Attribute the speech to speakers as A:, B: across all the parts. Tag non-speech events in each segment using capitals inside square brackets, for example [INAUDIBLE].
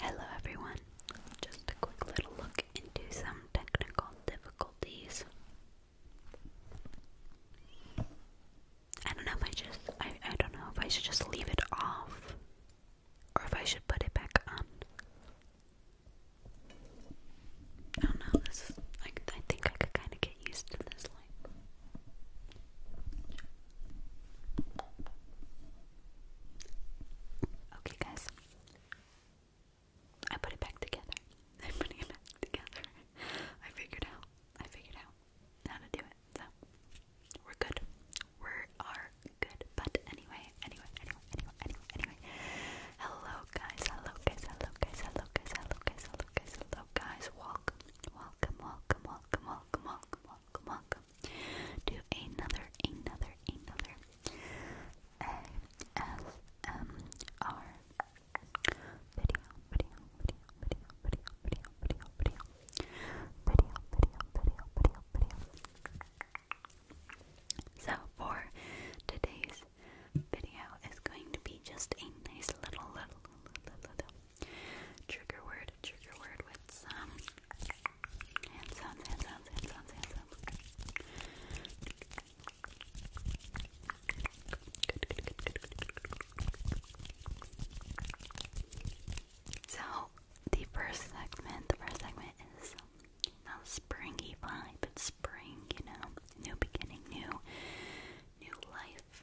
A: Hello everyone, just a quick little look into some technical difficulties. I don't know if I just, I, don't know if I should just leave it off or if I should put it back on. I don't know, this I think I could kind of get used to this light. Okay, guys. I put it back together. [LAUGHS] I'm putting it back together. I figured out. I figured out how to do it. So we're good. We are good. But anyway, anyway, anyway, anyway, anyway, anyway. Hello guys, hello guys, hello guys, hello
B: guys, hello guys, hello guys, hello guys. Welcome. Welcome, welcome, welcome, welcome, welcome, welcome, welcome to another, another, another ASMR video, video, video, video, video, video, video, video, video, video, video, video, video. So for today's video is going to be just a nice little, little, little, little, little trigger word, trigger word with some hand sounds, hand sounds, hand sounds, hand sounds.
C: So the first segment, the first segment is not springy vibe, but spring, you know, new beginning, new, new life,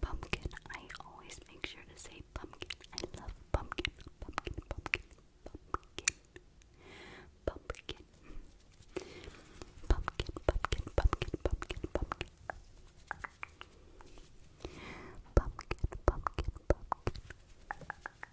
D: Pumpkin. I always make sure to say pumpkin. I love pumpkin. Pumpkin, pumpkin, pumpkin. Pumpkin. Pumpkin, pumpkin, pumpkin, pumpkin, pumpkin. Pumpkin, pumpkin, pumpkin.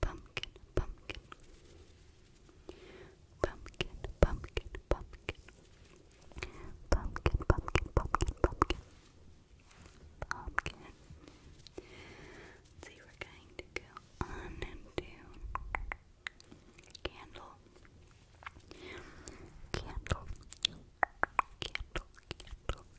D: pumpkin, pumpkin, pumpkin, pumpkin, pumpkin, pumpkin, pumpkin, pumpkin, pumpkin, pumpkin. See, we're going to go on and do candle, candle, candle, candle,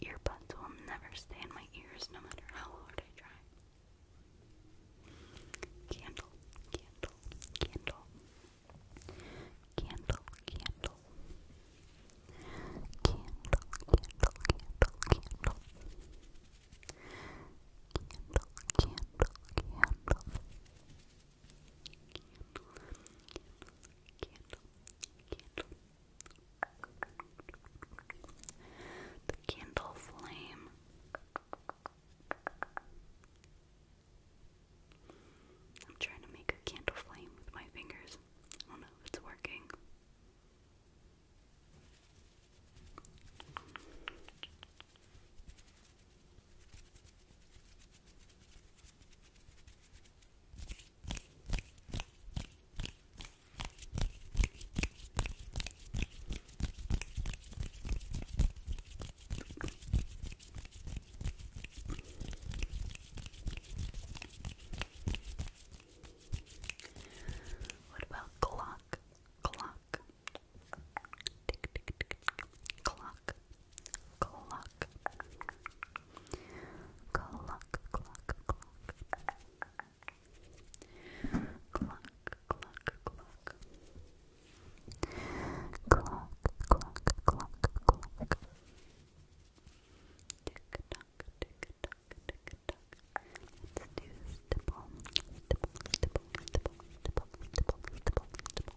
D: Earbuds will never stay in my ears no matter how hard I try. Candle, candle, candle. Candle, candle. Candle, candle, candle, candle. Candle, candle, candle. Candle, candle. The candle flame. I'm trying to make a candle flame with my fingers. I don't know if it's working. What about clock? Clock. Tick, tick, tick, Clock clock, clock, clock, clock, clock. Clock, clock, clock. Clock, clock, clock, clock. Tick tock, tick tock, tick tock. Let's do stipple, stipple, stipple, stipple, stipple, stipple, stipple, stipple.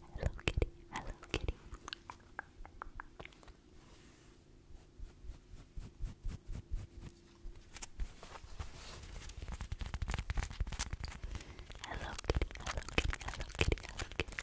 E: Hello Kitty, hello Kitty. Hello Kitty, hello Kitty, hello Kitty, hello Kitty.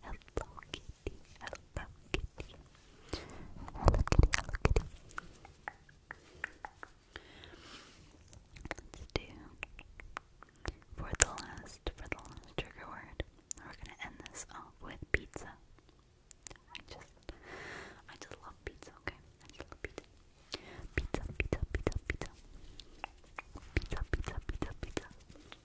E: Hello Kitty, Hello Kitty, Hello Kitty, Hello Kitty. Let's do for the last, for the last trigger word. We're gonna end this off with pizza. I just, I just love pizza. Okay, I just love pizza. Pizza, pizza, pizza, pizza. Pizza, pizza, pizza, pizza.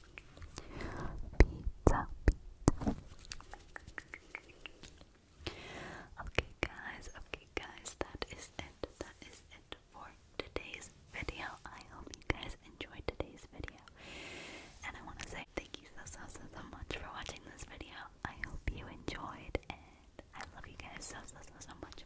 E: Okay, guys, okay, guys, that is it. That is it for today's video. I hope you guys enjoyed today's video. And I want to say thank you so, so, so, so much for watching this video. I hope you enjoyed, and I love you guys so, so, so, so much.